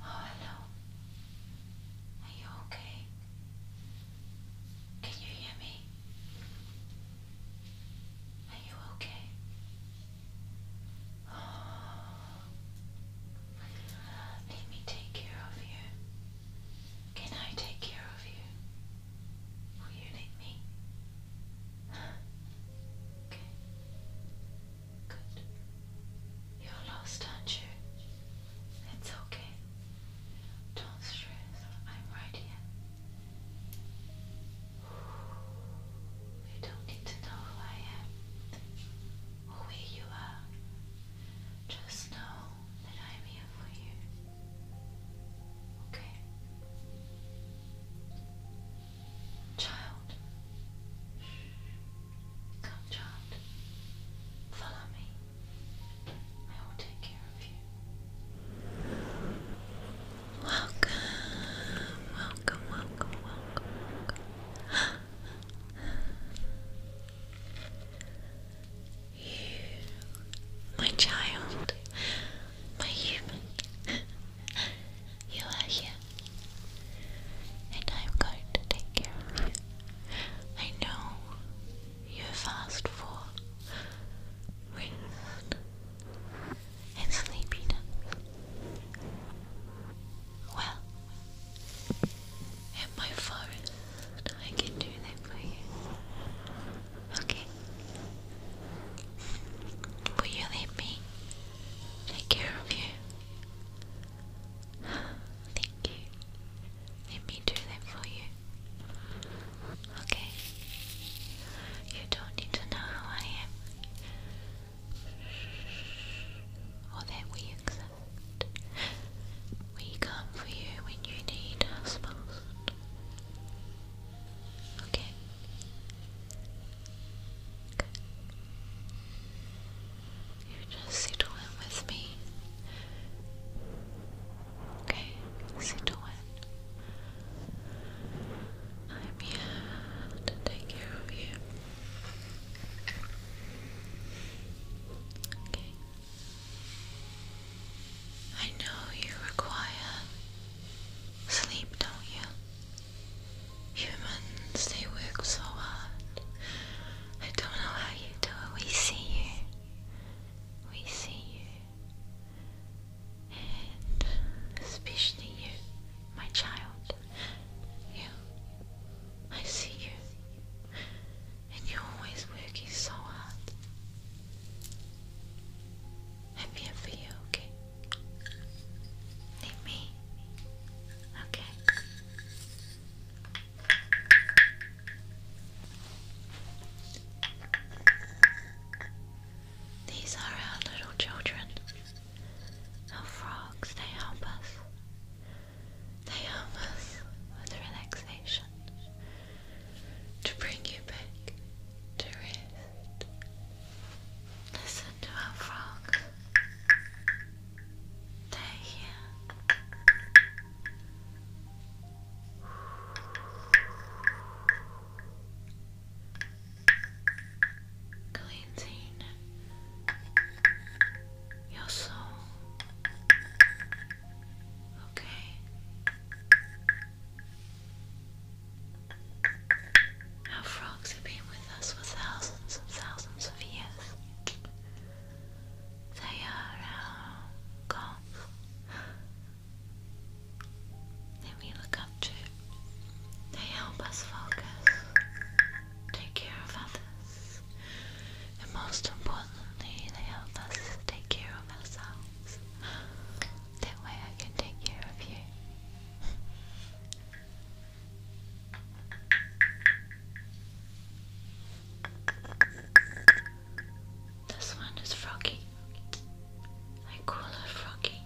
hello. Are you okay? Can you hear me? Are you okay? Let me take care of you. Can I take care of you? Will you need me? Okay. Good. You're lost, aren't you? It's okay. Don't stress. I'm right here. You don't need to know who I am or where you are. Just know that I'm here for you. Okay? Child, Come, child. Follow me. I will take care of you. welcome, welcome, welcome, welcome. You, my child, my human, you are here, and I'm going to take care of you. I know you've asked for rest and sleepiness. Well, in my forest, I can do that for you. Okay. Will you let me take care of you? Thank you. Let me do that for you. Okay. You don't need to know who I am. Or that we exist. We come for you when you need us most. Okay you just just settling with me. Okay, settle in. I'm here to take care of you. Okay. I know you require sleep, don't you? Humans, they work so hard. I don't know how you do it. We see you. We see you. And especially you, my child. You. I see you. And you're always working so hard. I'm here for you, okay? Leave me. Okay. These are our little children, our frogs. They help us. They help us with relaxation, to bring you back to rest. Listen to our frogs. Take Cleansing your soul. Okay. Our frogs have been with us for thousands and thousands of years they are our goals that we look up to. They help us focus, take care of others, and most importantly, they help us take care of ourselves. That way I can take care of you. This one is Froggy. I call her Froggy.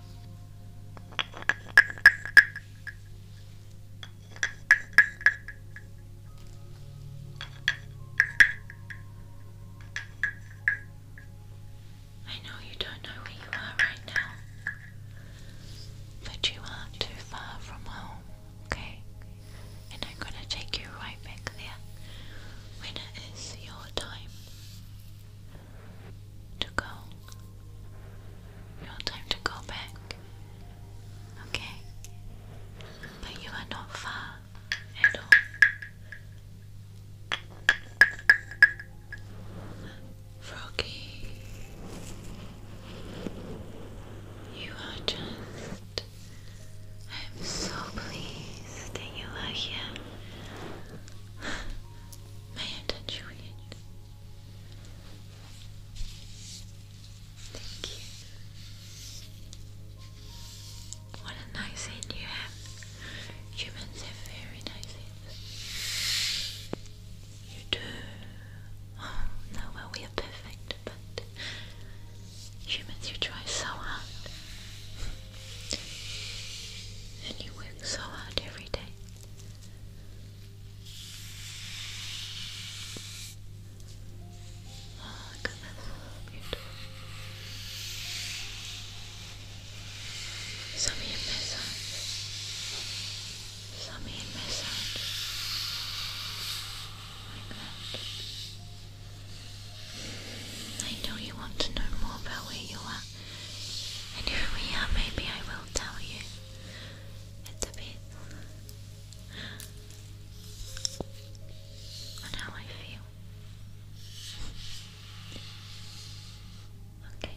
I know you don't know where you are right now, but you are too far from home okay? And I'm gonna take you right back there when it is your time to go. Your time to go back, okay? But you are not far at all. Froggy. You are just. I'm so pleased that you are here. May I Thank you. What a nice head you have. Humans have very nice heads. You do. Oh, no, well, we are perfect, but humans, you try so hard. And you work so hard every day. look at this. Beautiful. Some of some in my sound like I know you want to know more about where you are and who we are. Maybe I will tell you. a bit on how I feel. Okay.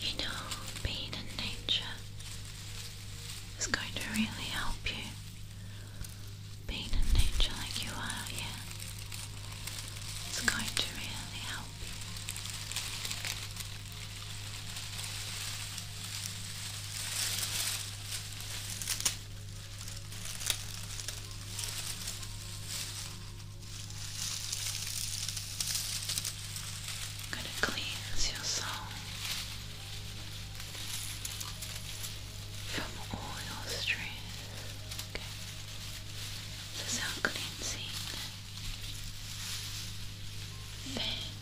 You know, being in nature is going to really help you being in nature like you are here. It's going to really help you gonna cleanse your soul from all your stress. Okay. This cleansing. Then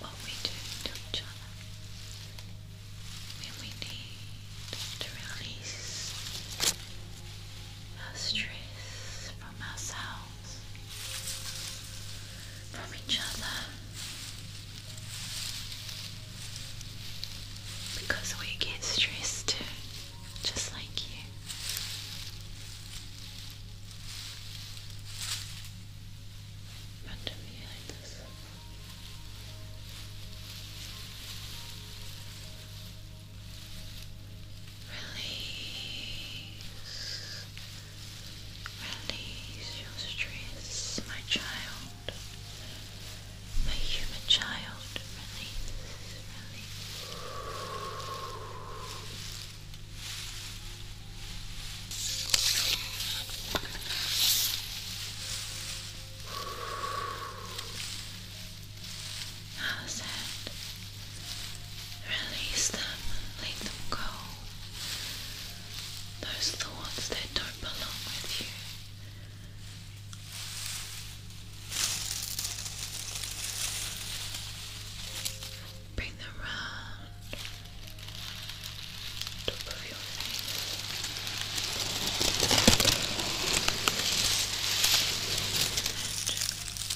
what we do to each other when we need to release our stress from ourselves, from each other, because we get stressed too, just like you. Under me like this. Release. Release your stress, my child. My human child. Release. Release. Now the sand. Release them, let them go. Those thoughts that don't belong with you. Bring them round top of your face.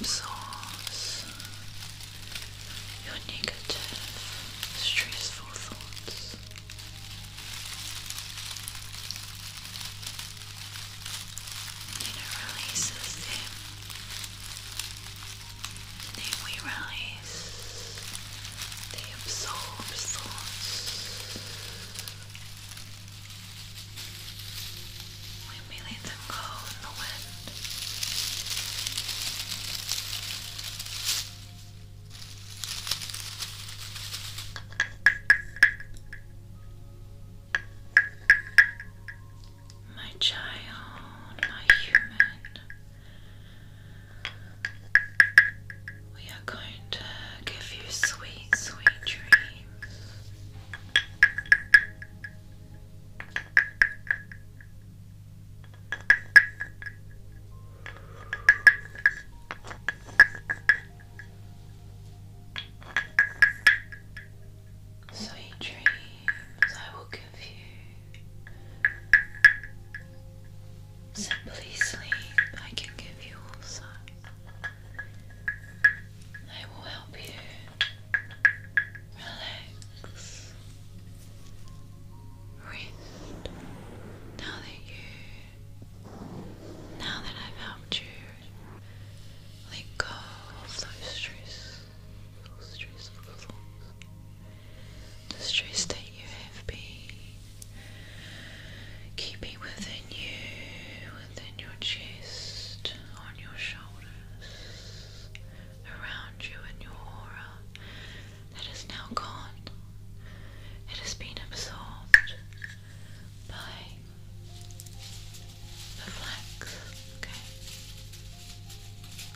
absorbs your negative, stressful thoughts. And it releases them. then we release the absorbed thoughts. My child, my human, we are going to give you sweet, sweet dreams. Sweet dreams, I will give you. Simply sleep, I can give you also. I will help you relax. Now that you, now that I've helped you, let go of those stress, stress levels. The stress that you have been keeping within you, within your chest, on your shoulders, around you and your aura that is now gone. It has been absorbed by the flax. Okay.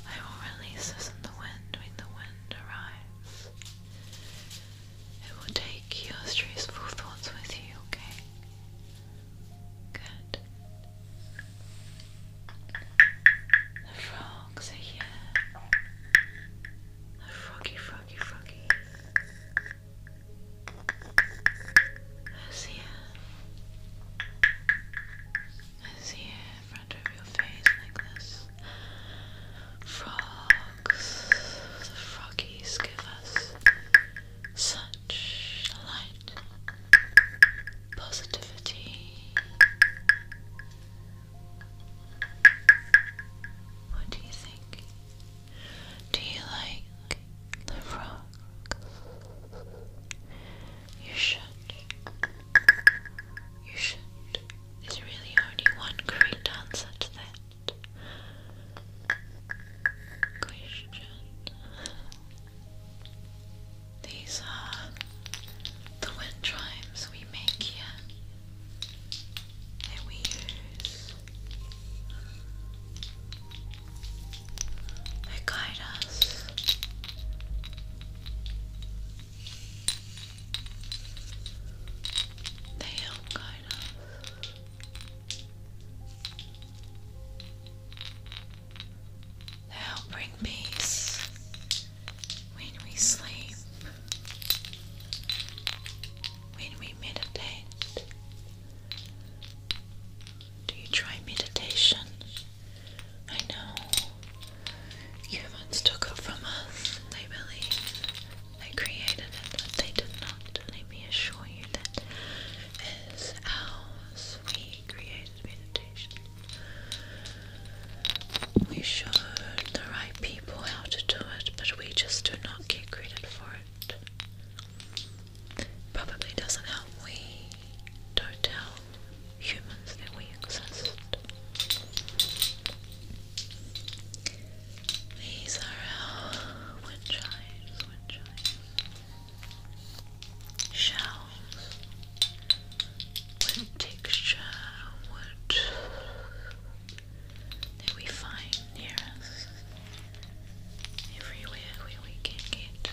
I will release this in the wind when the wind arrives. It will take your stressful thoughts with you, okay? Good. The frogs are here. The froggy, froggy, froggy. Who's here? Who's here in front of your face like this? Frogs. The froggies give us such light, positivity. What do you think? Do you like the rock? You should. You should. There's really only one correct answer to that question. These are the wind chimes we make here that we use. They guide us. They help guide us. Thou bring peace when we sleep, when we meditate. Do you try meditation? I know humans took it from us. They believe they created it, but they did not. Let me assure you that is ours. We created we show the right people how to do it, but we just do not get credit for it. Probably doesn't help we don't tell humans that we exist. These are our wind chimes shells with texture wood that we find near us everywhere where we can get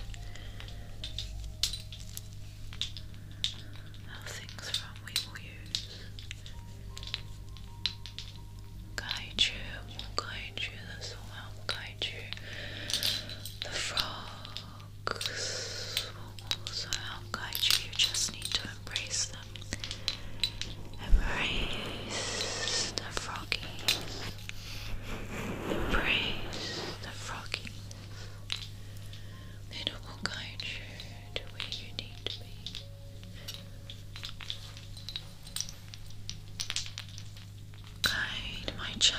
things from we will use guide you, will guide you, this will guide you the frog looks will also help guide you. You just need to embrace them. Embrace the froggies. Embrace the froggies. They will guide you to where you need to be. Guide my child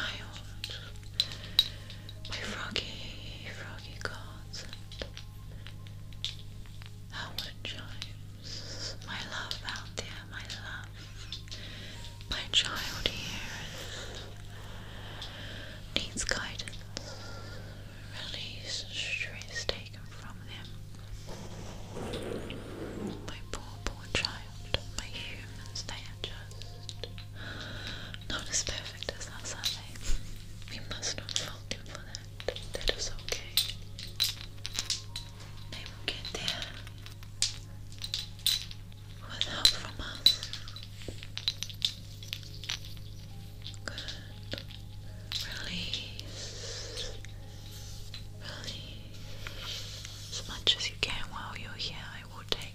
my froggy, froggy consent. Howard chimes, my love out there, my love, my child here needs guidance. Release stress taken from them. My poor, poor child, my humans, they are just not as perfect as that, sadly. We must not fault him for that. That is okay. They will get there with help from us. Good. Release. Release. As much as you can while you're here, I will take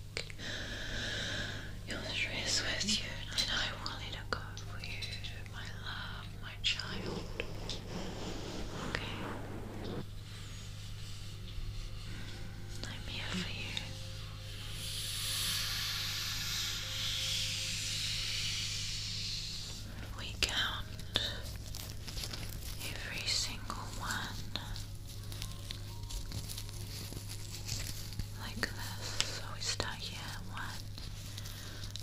your stress with you, and I will let it go for you, my love, my child. Okay. I'm here for you. We count every single one like this. So we start here. One,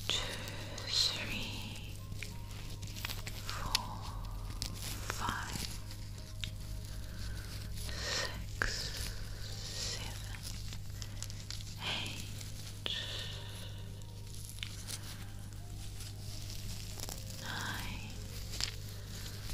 two, three, four, five, six, seven, eight, nine,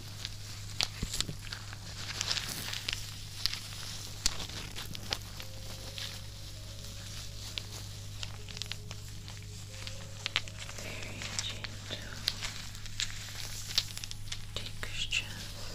Very gentle textures. Very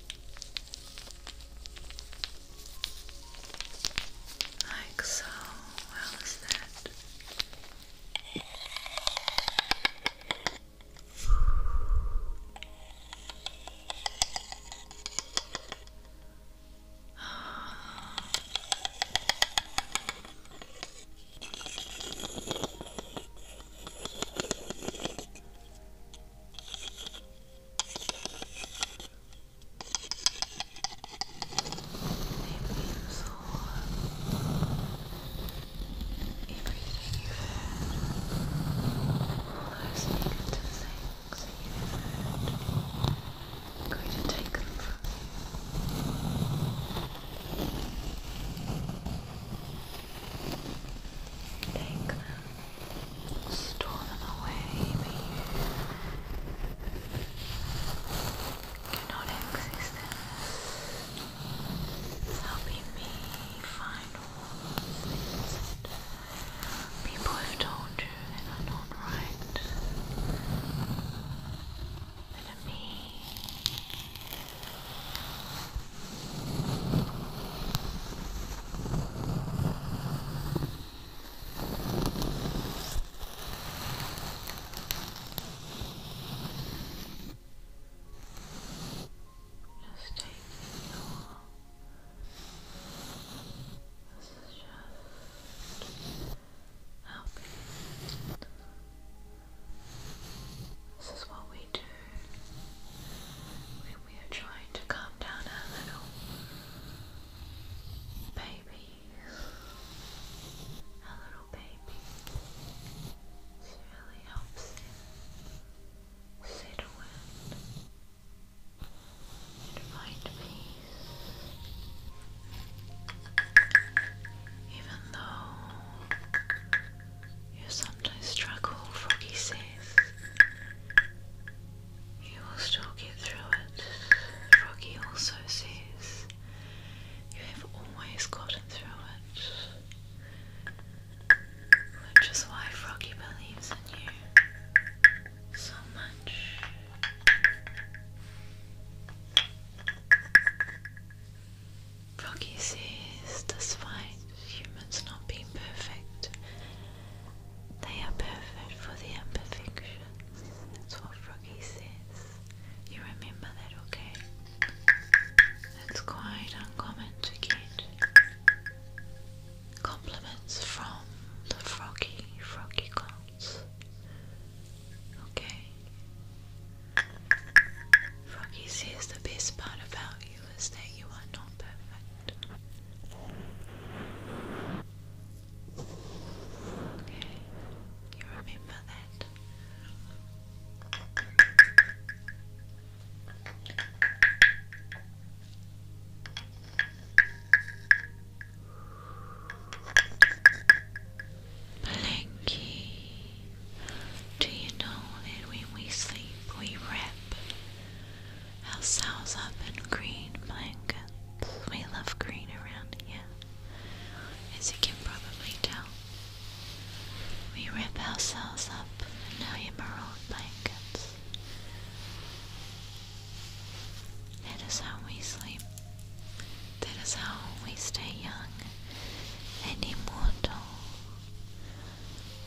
Like so. How is that? so everything you've heard, listening to things you've heard, I'm going to take them from you. Take them. Stolen away, you cannot access them. me find all those people have told you that are not right. That are me. Just taking your this is just helping. This is what we do we are trying to calm down a little baby. Our little baby. This really helps him settle in and find peace. Even though you sometimes struggle, Froggy says. You will still get through it. Froggy also says, You have always gotten through it. Which is why Froggy believes in you so much. Froggy says, despite humans not being perfect. They are perfect for the imperfections. That's what Froggy says. You remember that, okay? That's quite uncommon to get compliments from the Froggy, Froggy calls. Okay? Froggy says the best part about you realize that you are not perfect. do you know that when we sleep we wrap House cells up in green blankets. We love green around here, as you can probably tell. We wrap ourselves up in our emerald blankets. That is how we sleep. That is how we stay young and immortal.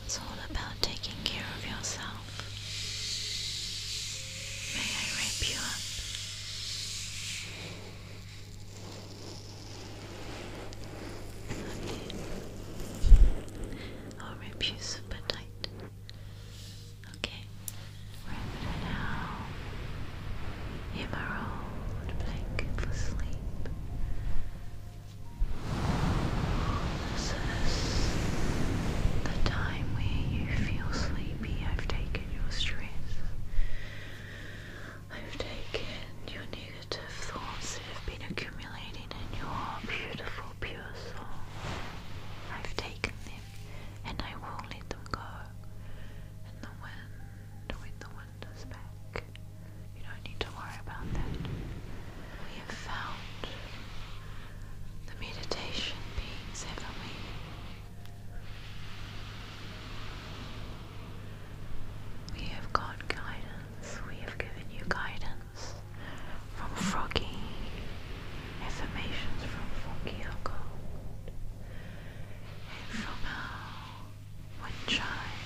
It's all about taking care of yourself. May I wrap you up? Okay. I'll wrap you super tight. Okay. Wrap it now. Emerald blanket for sleep. This is the time where you feel sleepy. I've taken your stress. I've taken your negative thoughts that have been accumulating in your beautiful, pure I've taken them and I will let them go. And the when the wind is back, you don't need to worry about that we have found the meditation beings, have we? have got guidance, we have given you guidance from Froggy, affirmations from Froggy, oh and from our wind chime.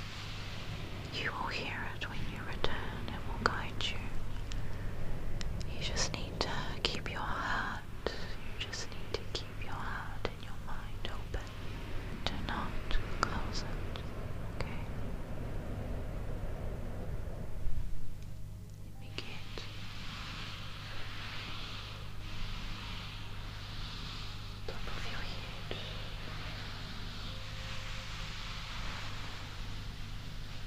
You will hear it when you return and will guide you. You just need to keep your heart, you just need to keep your heart and your mind open. Do not close it, okay? Let me get. Top of your head.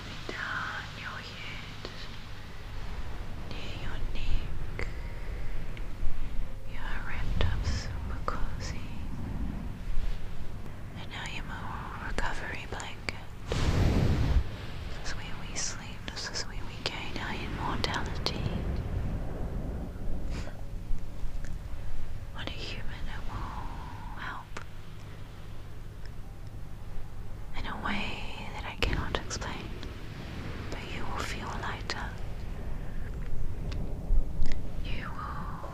Coming down your head, near your neck. You are wrapped up super cozy and now you are move recovery blanket. This is where we sleep, this is where we gain our immortality. What a human it will help in a way that I cannot explain, but you will feel lighter. You will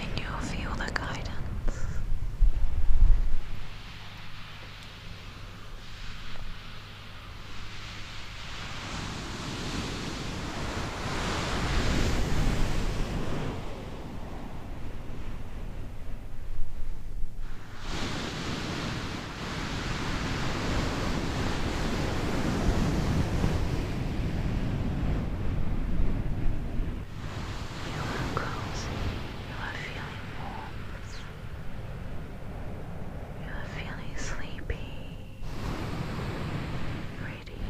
and you'll feel the guidance. You're cozy. You are feeling warmth. You are feeling sleepy. Ready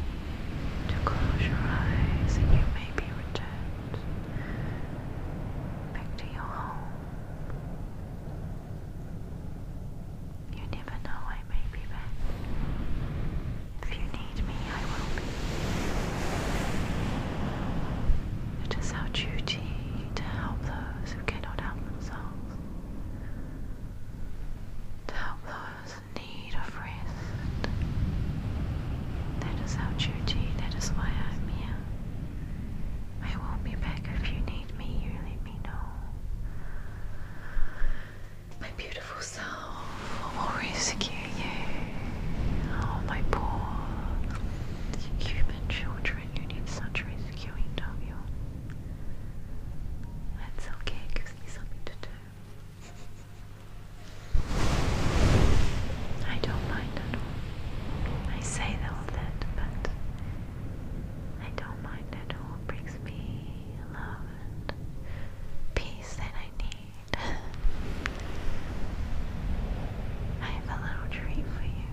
to close your eyes and you may be returned back to your home. You never know I may be back. If you need me, I will It is our duty to help those who cannot help themselves, to help those in need of rest. That is our duty, that is why I am here. I will be back if you need me, you let me know. My beautiful self will rescue you. Oh, my poor human children, you need such rescuing, don't you? That's okay, it something to do. I don't mind at all. I say all that, but I don't mind at all. It brings me love and peace that I need. I have a little treat for you.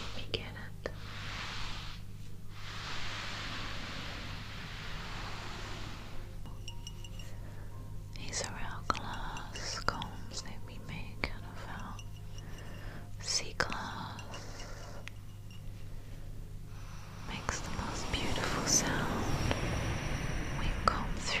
Let me get it. These are our glass combs that we make out of our sea glass makes the most beautiful sound when you through.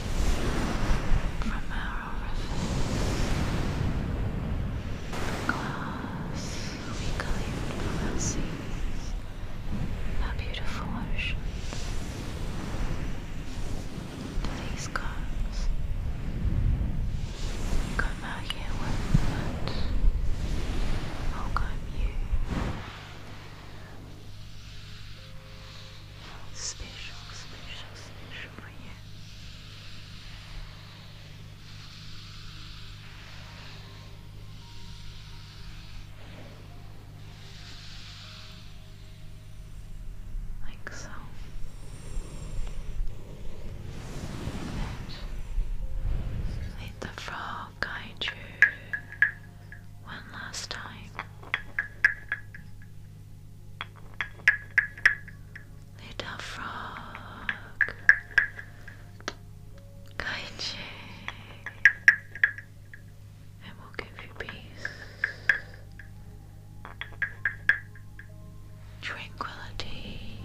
Remember everything. The glass we gleaned our seas, our beautiful ocean. To these gods, come out here with that. Welcome you special, special, special for Like so. let the frog guide you one last time. Little frog, Kaiji, I will give you peace, tranquility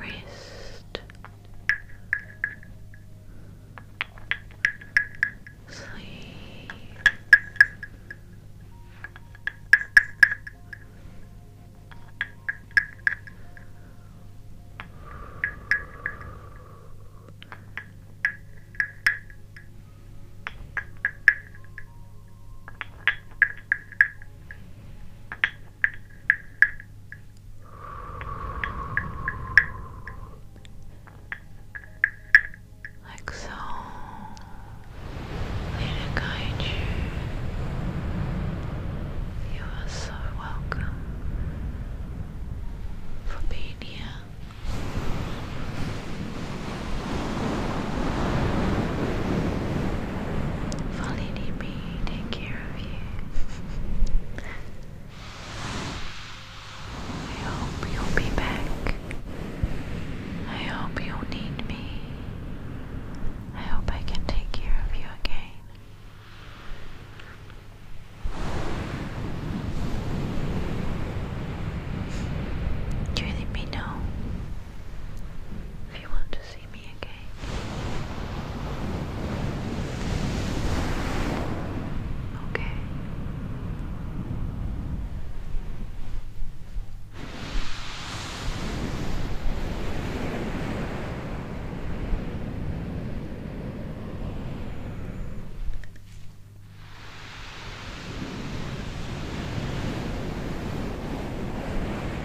wrist, sleeve, like so. Leader guide you. You are so welcome for being here. For leading me take care of you. I hope you'll be back. I hope you'll need me. I hope I can take care of you again. You let me know if you want to see me again. Okay.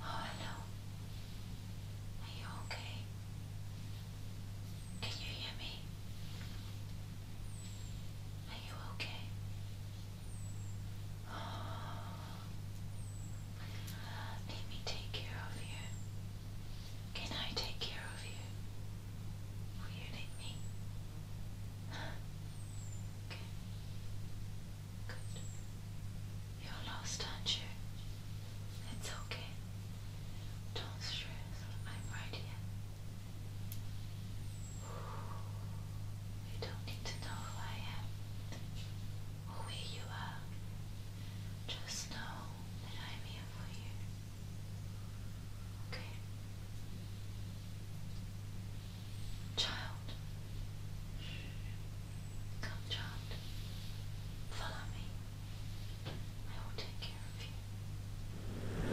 Oh, hello. Are you okay? Can you hear me? Are you okay? Let me take care of you. Can I take care of you? Will you need me? Okay. Good. You're lost, aren't you? It's okay. Don't stress. I'm right here. You don't need to know who I am where you are, just know that I'm here for you. Okay? Child, come, child, follow me. I will take care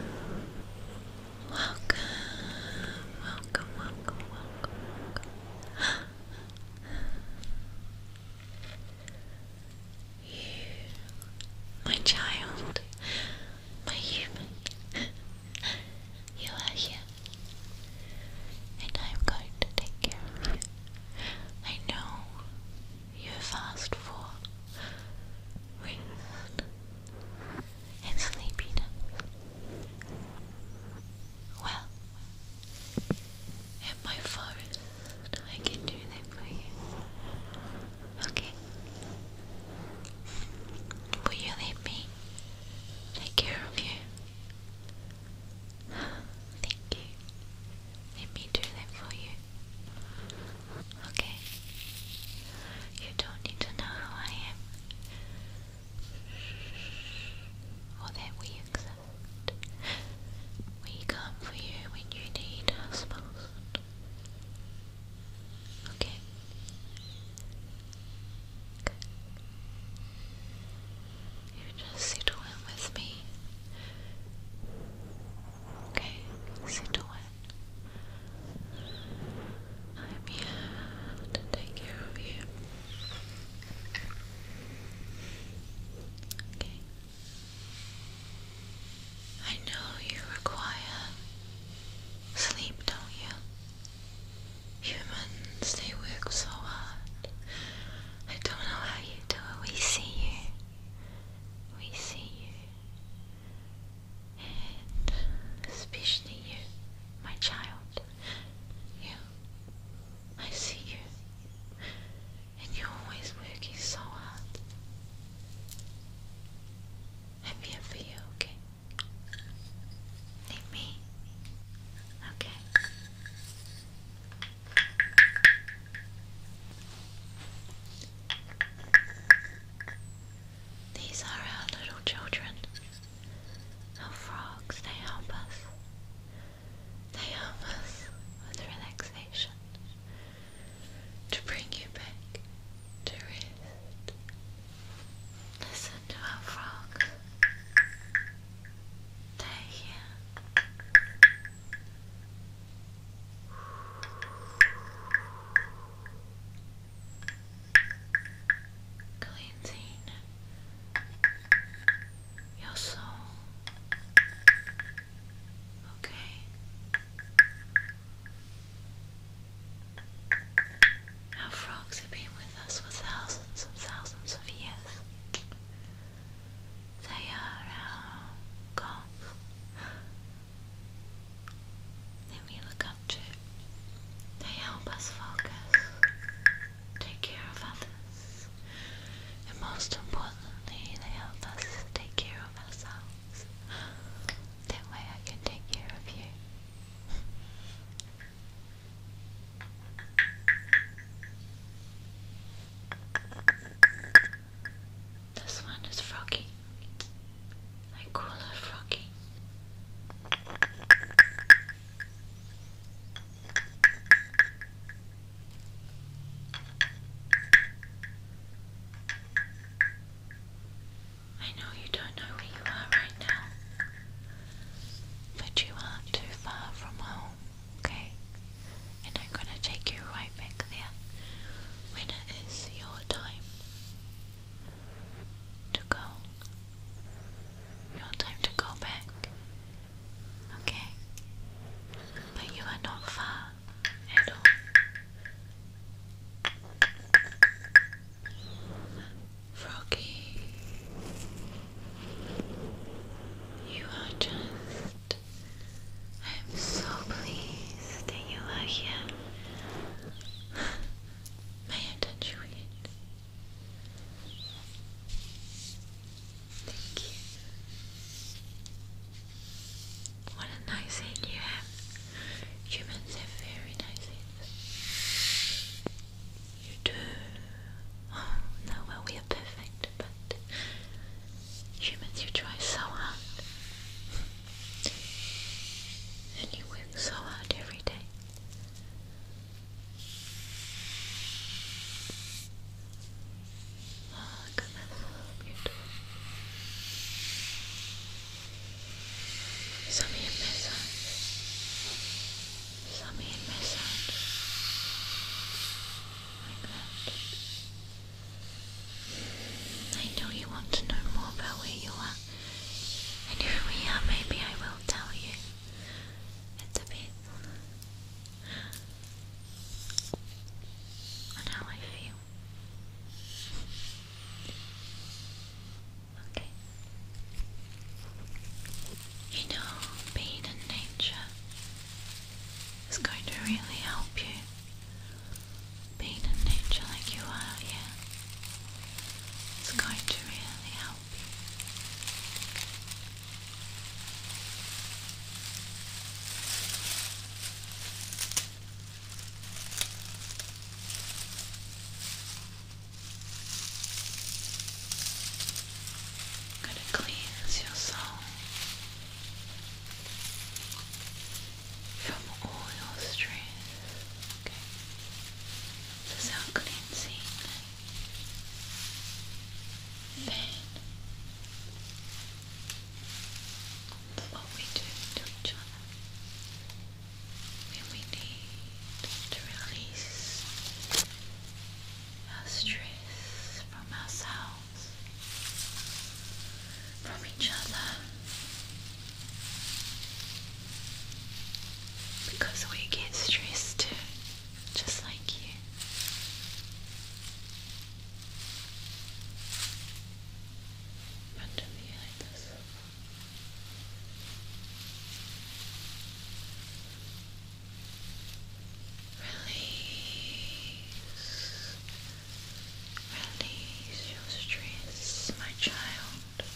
of you. Welcome, welcome, welcome, welcome, you, my child, my human, you are here, and I am going to take care of you. I know you have asked for rest and sleepiness. Well, in my forest. I can do that for you. Okay? Will you let me take care of you? Thank you. Let me do that for you. Okay? You don't need to know who I am or that we accept. We come for you when you need us most. Okay. Good. You just settle in with me. Okay, settle in. I'm here to take care of you. I know you require sleep, don't you? Humans, they work so hard. I don't know how you do it. We see you. We see you. And especially you, my child. You. I see you, and you're always working so hard. i for you, okay? Need me? Okay. These are our little children. Our frogs, they help us. They help us with relaxation to bring you back to rest. Listen to our frogs. They're Cleansing your soul. Okay. Our frogs have been with us for thousands and thousands of years. They are our gods that we look up to. They help us focus take care of others, and most importantly, they help us take care of ourselves. That way, I can take care of you. This one is Froggy. I call her Froggy. I know you don't know where you are right now, but you are too far from home, okay? And I'm gonna take you right back there when it is your time to go. Your time to go back Okay? But you are not far at all. Froggy, you are just. I'm so pleased that you are here. May I touch you Thank you. What a nice hand you have. Humans have very nice hands. You do. Oh, no, well, we are perfect, but humans, you try so hard. And you work so hard every day. Oh, look at that. Beautiful. Some in massage. I know you want to know more about where you are and who we are. Maybe I will tell you. It's a bit on how I feel. Okay. You know, being in nature is going to really help you. Being in nature like you are here is going to really help I'm your soul from all your stress. Okay. This is how cleansing then what we do to each other we need to release our stress from ourselves, from each other, because we get stressed too just like you. Under me like this. Release, release your stress, my child,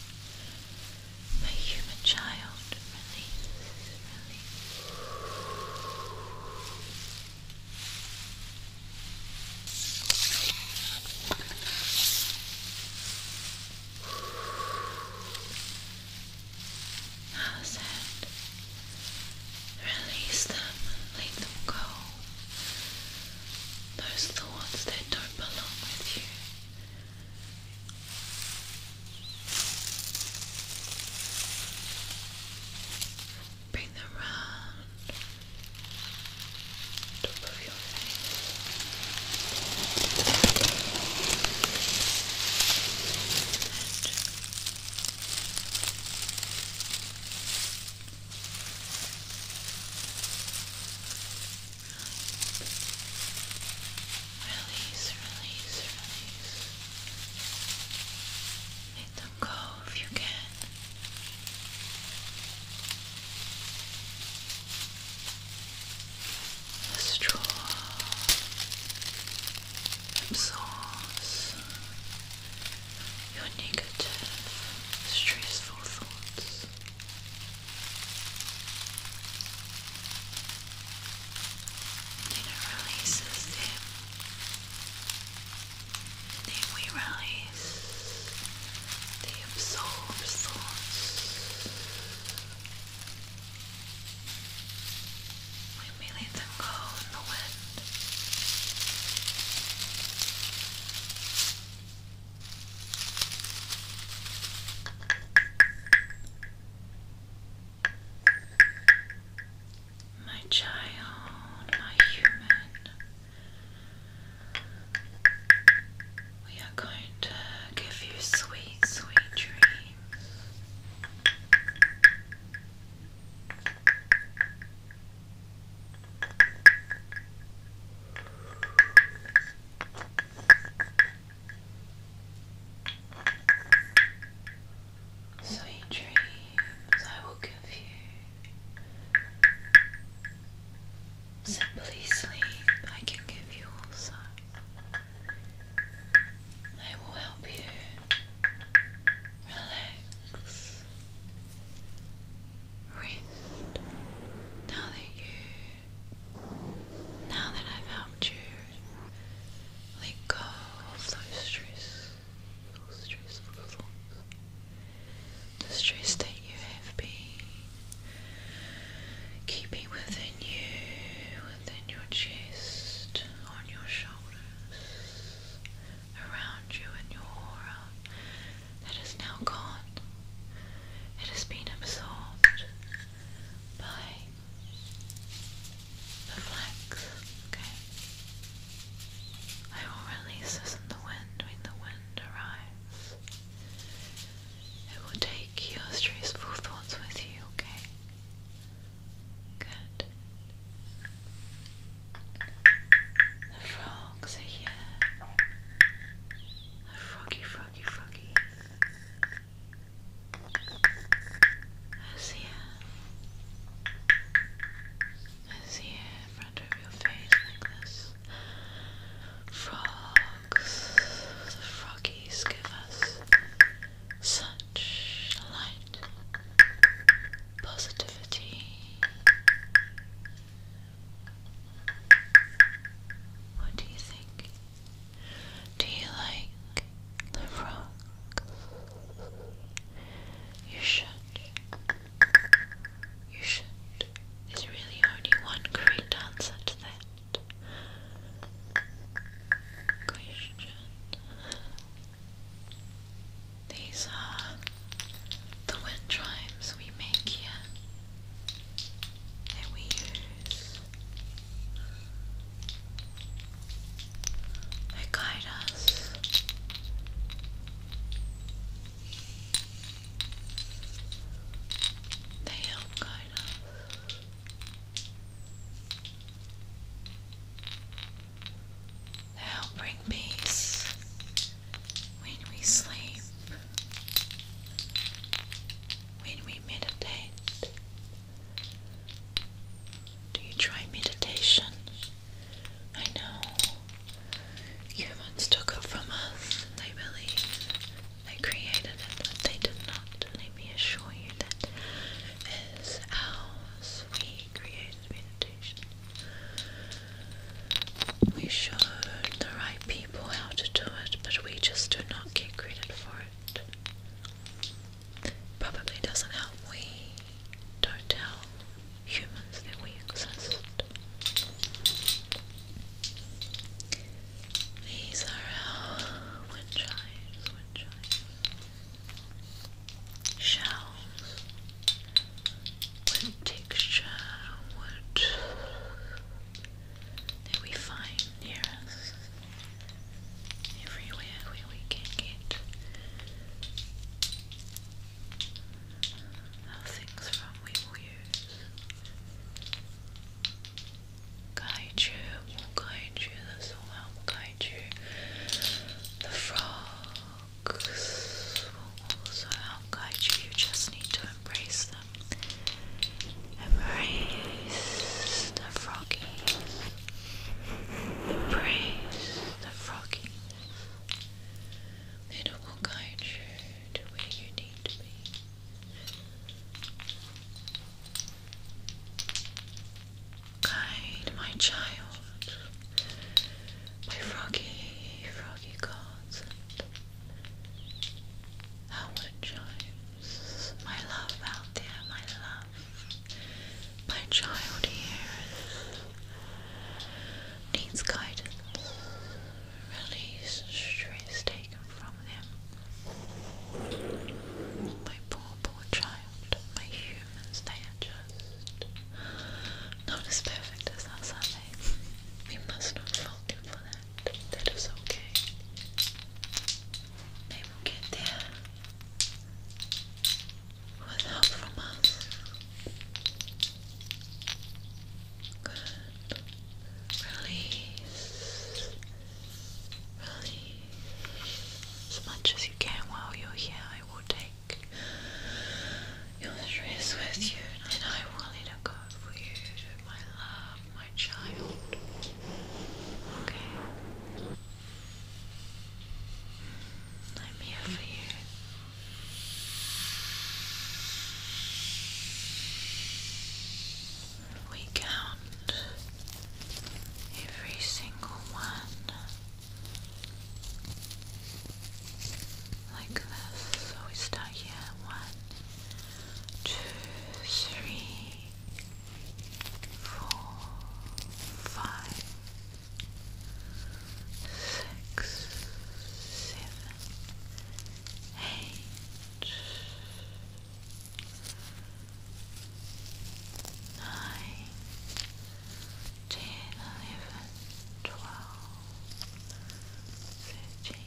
my human child. Release, definitely. Now release them, let them go. Those thoughts that don't belong with you. Bring them round top of your face. Release, release, release. Let them go if you can. The straw your negative, stressful thoughts and it releases them. And release the absorbed thoughts. When we let them in the wind. My child, my human, we are going to give you sweet, sweet dreams. Sweet dreams I will give you. Simply sleep I can give you also. I will help you relax. Rest now that you, now that I've helped you let go of those stress, those stressful thoughts. The stress that you have been keeping within you, within your chest, on your shoulders, around you and your aura, that is now gone. It has been absorbed by Relax, okay? I will release this in the wind when the wind arrives. It will take your stressful thoughts with you, okay? Good. The frogs are here. froggy, froggy, froggy. Hacia, hacia in front of your face like this. Frogs, the froggies give us such light, positivity. What do you think? Do you like the frogs? You should. You should. There's really only one correct answer to that question. These are the wind rhymes we make here that we use they guide us. They help guide us. They help bring peace when we sleep, when we meditate. Do you try meditation? I know humans took it from us. They believe they created it, but they did not. Let me assure you that is ours. We created meditation. We showed the right people how to do it, but we just do not get credit for it. Probably doesn't help we don't tell humans that we exist. These are our wind chimes, Shells, wood texture, wood that we find near us everywhere where we can get now things from we will use. Guide you, we'll guide you, that's all that guide you. The frogs will also help guide you, you just need to embrace them. Embrace the froggies the praise, the frogginess. It will guide you to where you need to be. Guide my child, my froggy, froggy gods. How it chimes, my love out there, my love. My child here needs guidance. Release stress taken from them. My poor, poor child. My humans, they are just not as perfect as us, are they? We must not fault them for that. That is okay. They will get there with from us. Good. Release. Release. As much as you can while you're here, I will take your stress with you and I will let it go for you, my love, my child. Okay. I'm here for you. We count every single one like this. So we start here one, two, three, four, five six, seven, eight, nine, ten, eleven, twelve, thirteen,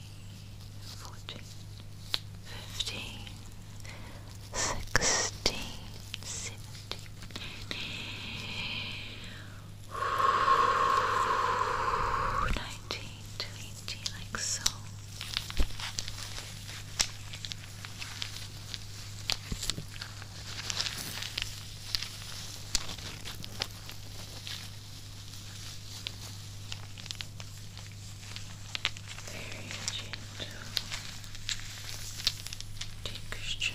fourteen, fifteen, sixteen, seventeen. Nineteen, twenty, like so. Very gentle textures.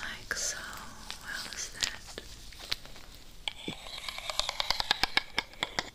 Like so, how is that?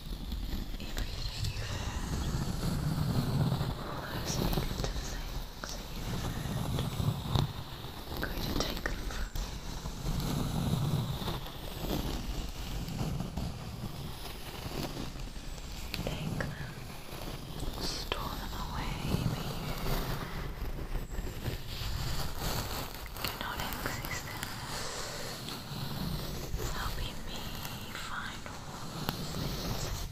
everything you've heard, listening to the things that going to take them from you. Take them, store away you. Cannot access them. Helping me find things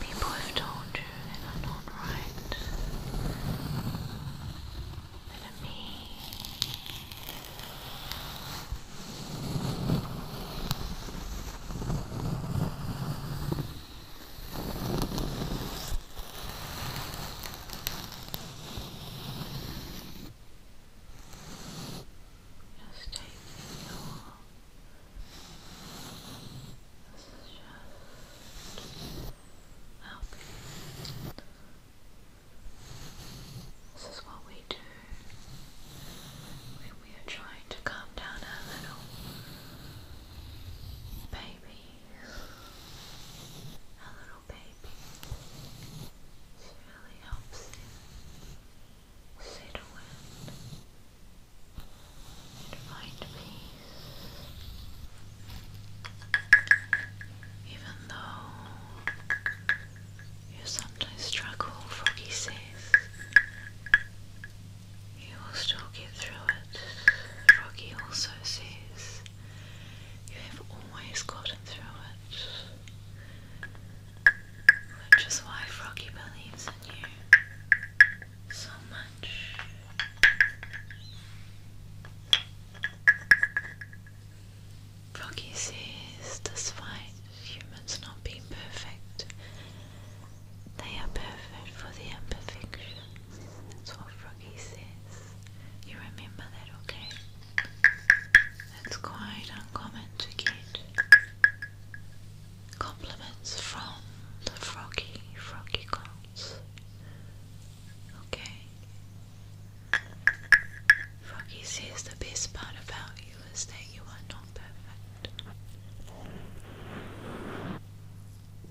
people have told you that are not right, that are mean. Just taking your this is just helping. This is what we do when we are trying to calm down our little baby. Our little baby. This really helps Settle in find peace. Even though you sometimes struggle, Froggy says, you will still get through it. Froggy also says, you have always gotten through it. Which is why Froggy believes in you so much. Froggy says, despite humans not being perfect, they are perfect for their imperfections. That's what Froggy says. You remember that, okay? That's quite uncommon to get. Compliments from the froggy, froggy counts. Okay. Froggy says the best part about you is that you are not perfect.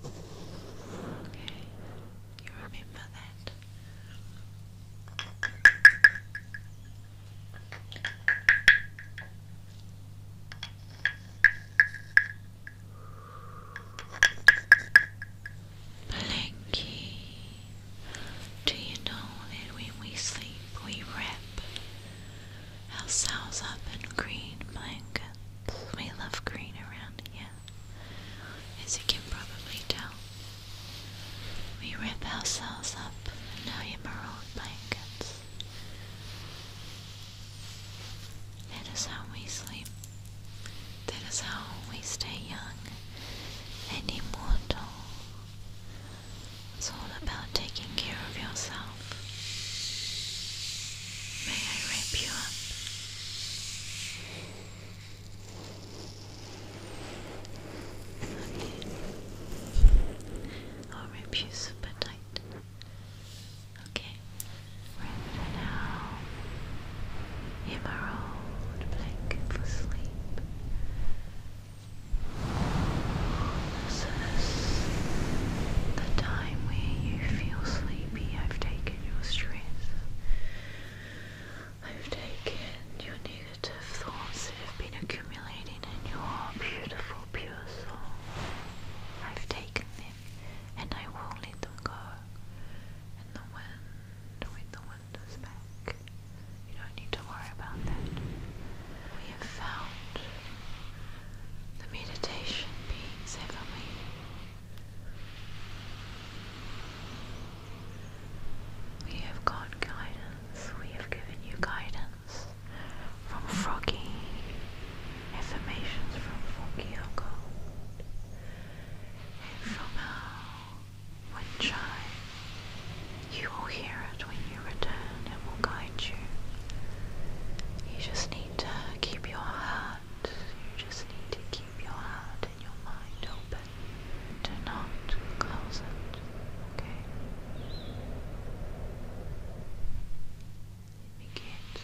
Okay, you remember that. Blanky. Do you know that when we sleep we wrap ourselves up in green blankets? We love green around here, as you can probably tell. We wrap ourselves up in our emerald blankets. That is how we sleep. That is how we stay young and immortal. It's all about taking care of yourself. May I wrap you up? Okay or abuse of appetite. Okay, right now, emerald blanket for sleep. This is the time where you feel sleepy. I've taken your stress. I've taken your negative thoughts that have been accumulating in your beautiful pure soul. I've taken him, and I won't let them go. And the wind, with the wind is back. You don't need to worry about that. We have found the meditation beings, haven't we? We have got guidance. We have given you guidance from Froggy, affirmations from Froggy are and from our uh, You will hear it when you return, it will guide you. You just need to keep your heart, you just need to keep your heart and your mind open. Do not close it, okay? Let me get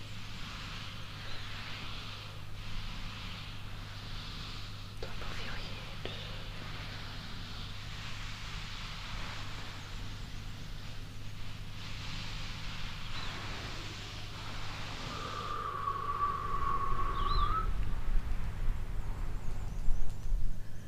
top of your head.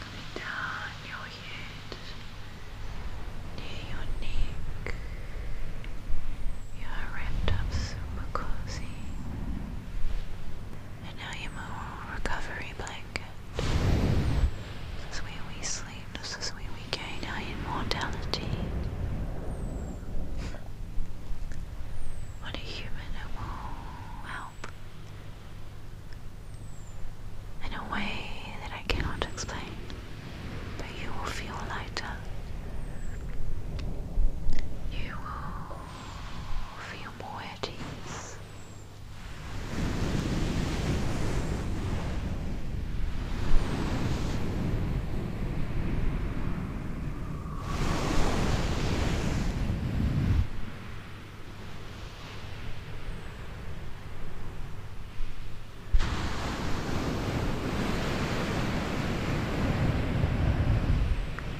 Coming down your head, near your neck. You are wrapped up super cozy. And now your more recovery blanket. This is where we sleep, this is where we gain our immortality. What a human it will help in a way that I cannot explain, but you will feel lighter. You will feel more at ease.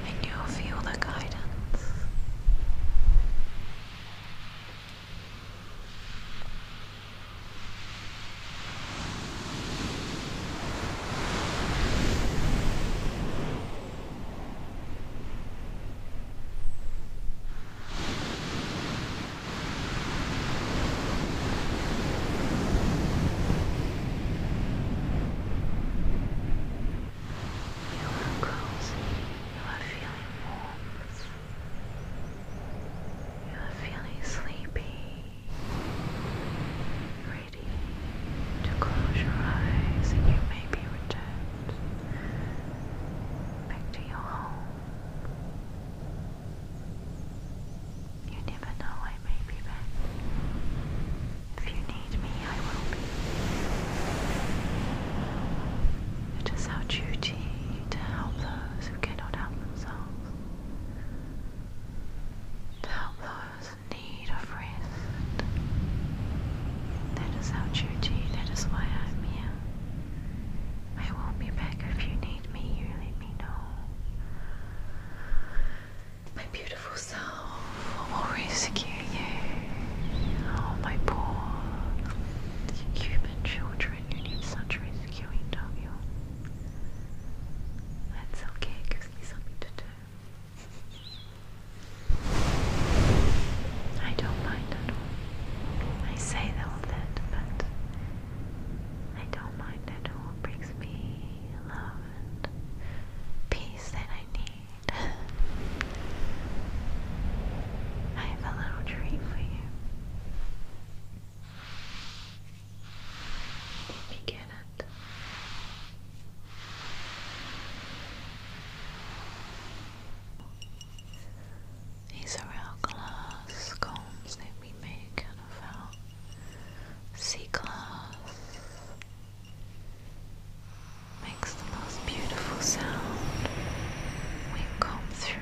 And you feel the guidance. You are cozy, you are feeling warmth, you are feeling sleepy, ready to close your eyes and you may be returned back to your home. You never know, I may be back. If you need me, I will be. It is our duty to help those who cannot help themselves, to help those is need of rest. That is our duty, that is why I'm here. I will be back if you need me, you let me know. My beautiful self will rescue you. Oh, my poor Cuban children, you need such rescuing, don't you? That's okay, it gives something to do. I don't mind at all. I say all that, but I don't mind at all. It brings me love and peace that I need. I have a little treat for you. Let that. These are our glass combs that we make and of our sea Makes the most beautiful sound when comb through.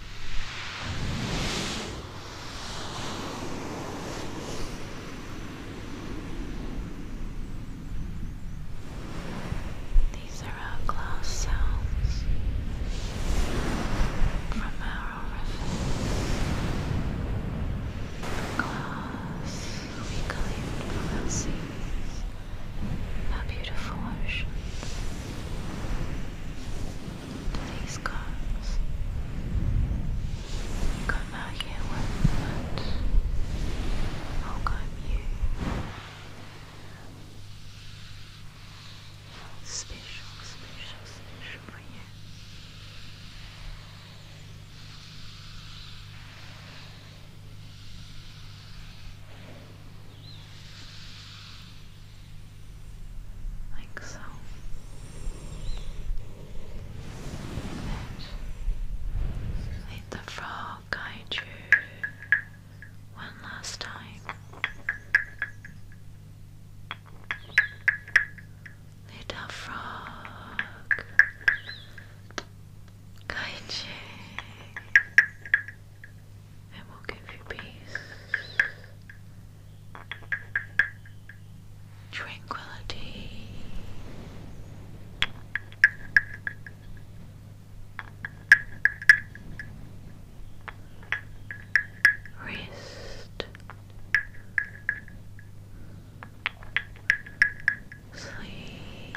These are our glass sounds from our orifice. glass we collect from our seas, our beautiful ocean. Please, guys, come out here with that. Welcome you. Special, special, special for you like so. let the frog guide you one last time. Little frog, guide you and we will give you peace, tranquility. Rest, sleep,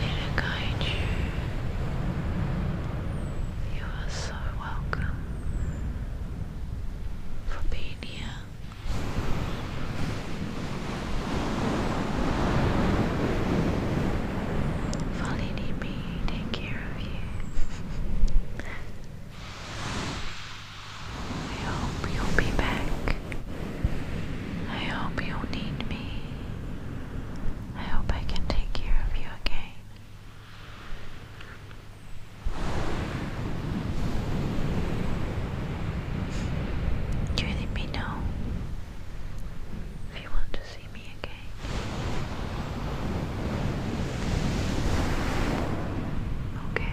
Lady Kaiju, you are so welcome for being here. For take care of you. I hope you'll be back. I hope you'll need me. I hope I can take care of you again. You let me know if you want to see me again. Okay.